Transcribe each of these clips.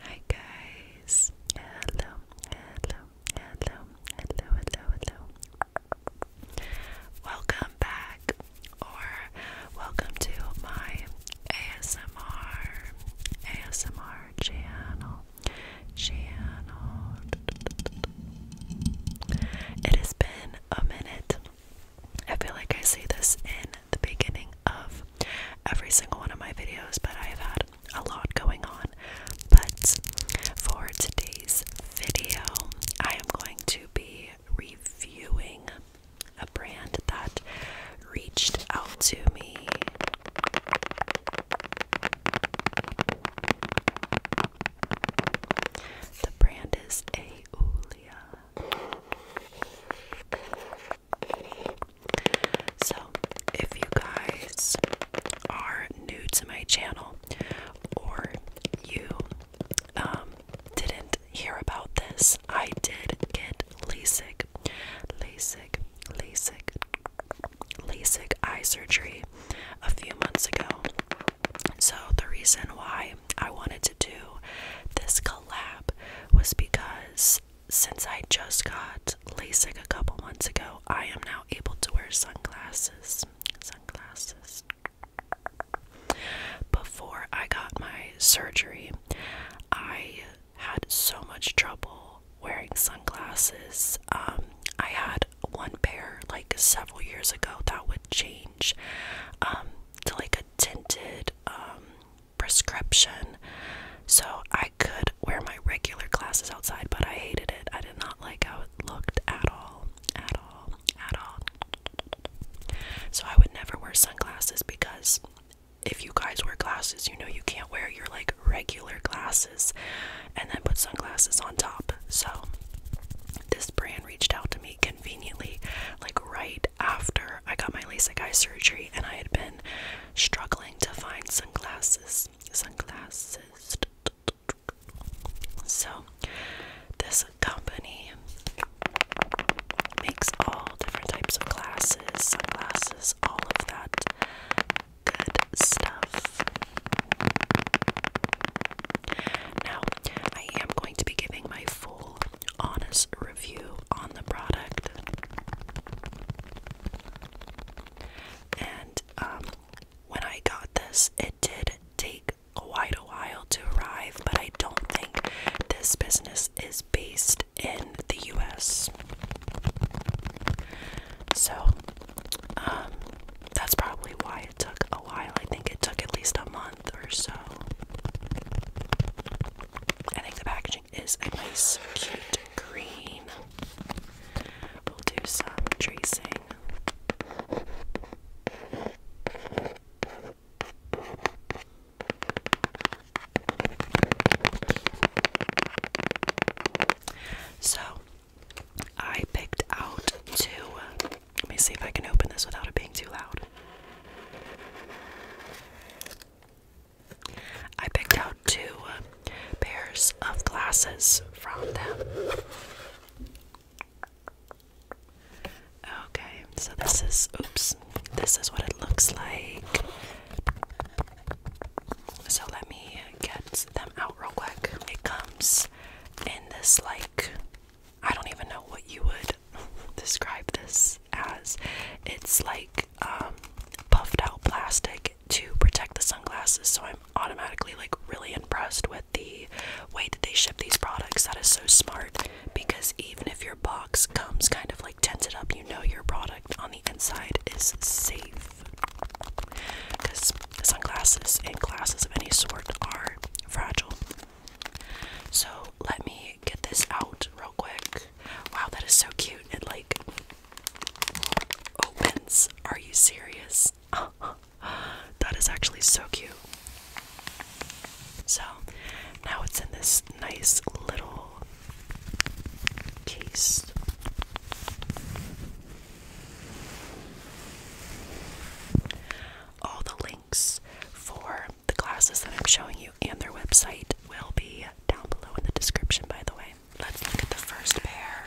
Hi guys. Hello. Hello. Hello. Hello. Hello. Hello. Welcome back or welcome to my ASMR ASMR channel. Channel. It has been a minute. I feel like I say this in the beginning of every single one of my videos, but I have had a lot going on. But for today's video, I am going to be reviewing a brand that reached out to me. The brand is Aulia. So, if you guys are new to my channel or you um, didn't hear about this, I did get LASIK, LASIK, LASIK, LASIK eye surgery a few months ago. So, the reason why I wanted to do this collab was because since I just got LASIK a couple months ago, I am now able to wear sunglasses. Sunglasses. Before I got my surgery, I had so much trouble wearing sunglasses. Um, I had one pair like several years ago that would change um, to like a tinted um, prescription. So I could wear my regular glasses outside, but I hated it. I did not like how it looked at all. At all. At all. So I would never wear sunglasses because if you guys wear glasses, you know you can't wear your like regular glasses and then put sunglasses on top. So this brand reached out to me conveniently like right after I got my LASIK eye surgery and I had been struggling to find sunglasses sunglasses so this company makes all different types of glasses sunglasses all of that good stuff now I am going to be giving my full honest review on the product. And um, when I got this, it did take quite a while to arrive, but I don't think this business is based in the US. So, um, that's probably why it took a while. I think it took at least a month or so. I think the packaging is a nice, cute green. We'll do some tracing. So, I picked out two. Let me see if I can open this without it being too loud. I picked out two uh, pairs of glasses from them. Okay, so this is oops, this is what it looks like. So let me get them out real quick. It comes in this like I don't even know what you would describe this as. It's like um, puffed out plastic to protect the sunglasses, so I'm automatically like really impressed with the way that they ship these products. That is so smart because even if your box comes kind of like tinted up, you know your product on the inside is safe because sunglasses and glasses of any sort are fragile. So, let me get this out real quick. Wow, that is so cute. It like opens. Are you serious? that is actually so cute. So now it's in this nice little case. All the links for the glasses that I'm showing you and their website will be down below in the description, by the way. Let's look at the first pair.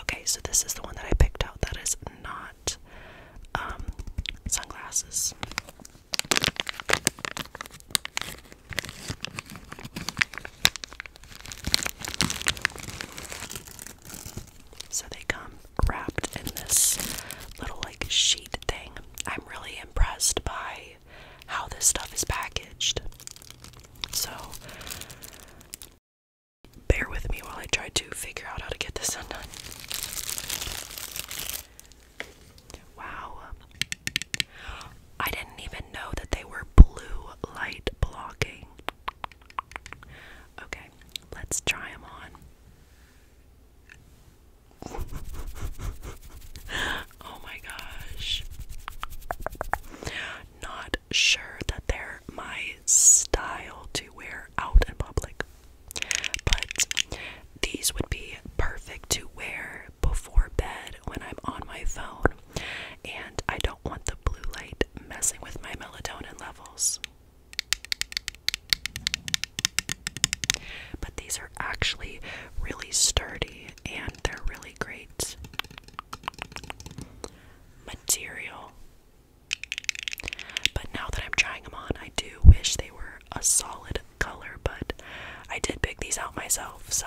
Okay, so this is the one that I picked out that is not um, sunglasses. So they come wrapped in this little like sheet thing. I'm really impressed by how this stuff is packaged. So bear with me while I try to figure out how to get this undone. Wow. I didn't even know that they were blue light blocking. Okay, let's try them on. oh my gosh. Not sure that they're my style to wear out in public, but these would be perfect to wear before bed when I'm on my phone and I don't want the blue light messing with my melatonin levels. But these are actually really sturdy and they're really great. Material. But now that I'm trying them on, I do wish they were a solid color, but I did pick these out myself, so.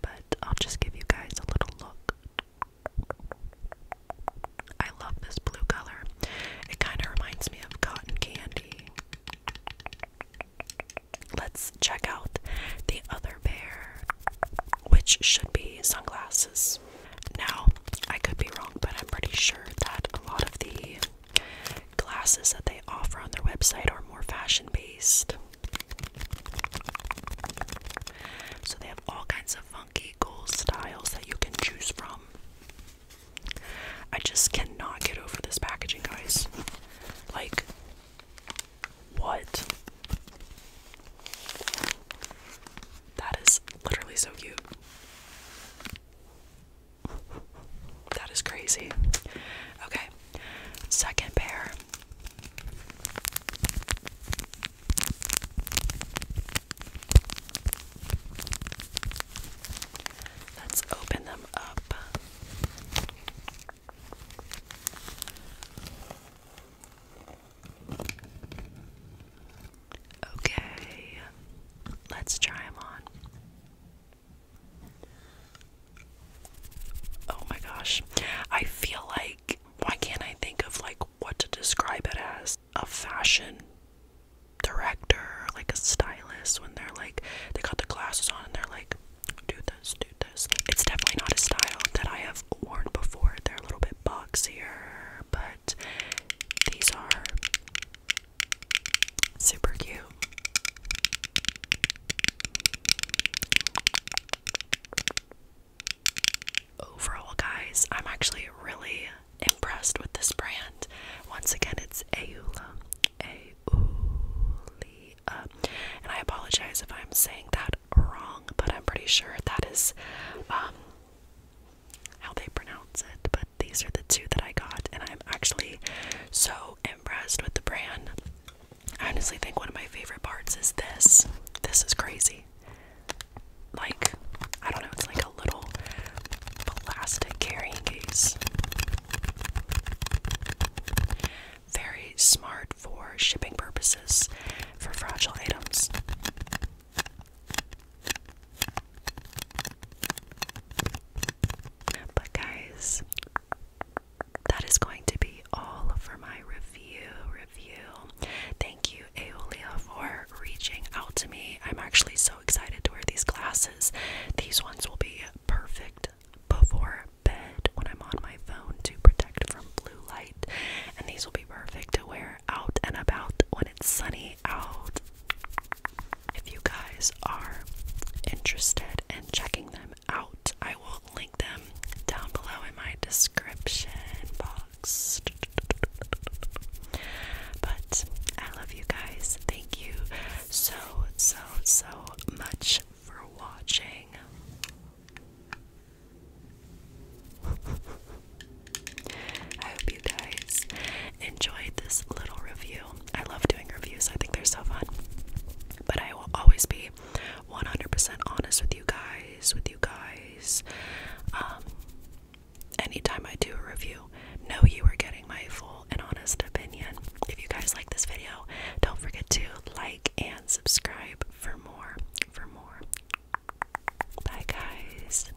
But I'll just give you guys a little look. I love this blue color. It kind of reminds me of cotton candy. Let's check out the other pair, which should be sunglasses. Now, I could be wrong, but I'm pretty sure that a lot of the Glasses that they offer on their website are more fashion based. So they have all kinds of funky cool styles that you can choose from. I just cannot get over this packaging, guys. Like, what? That is literally so cute. That is crazy. Okay, second pair. Let's open them up. Okay, let's try them on. Oh my gosh. I feel like why can't I think of like what to describe it as? A fashion director, like a stylist when they're like they got the glasses on and they're like do this, do this. It's definitely not a style that I have worn before. They're a little bit boxier, but these are Super cute. Overall, guys, I'm actually really impressed with this brand. Once again, it's Aula. Aulia. And I apologize if I'm saying that wrong, but I'm pretty sure that is um, how they pronounce it, but these are the two that I got, and I'm actually so impressed with the brand. I honestly think one of my favorite parts is this. This is crazy. Like, I don't know, it's like a little plastic carrying case. Very smart for shipping purposes for fragile items. But, guys, that is going to be all for my review. Review. Thank you, Aeolia, for reaching out to me. I'm actually so excited to wear these glasses. These ones will be perfect before bed when I'm on my phone to protect from blue light. And these will be perfect to wear out and about when it's sunny out. If you guys are interested in checking them out, I will link them down below in my description box. But I love you guys. Thank you so, so, so much for watching guys enjoyed this little review. I love doing reviews, I think they're so fun. But I will always be 100% honest with you guys, with you guys. Um, anytime I do a review, know you are getting my full and honest opinion. If you guys like this video, don't forget to like and subscribe for more. For more. Bye, guys.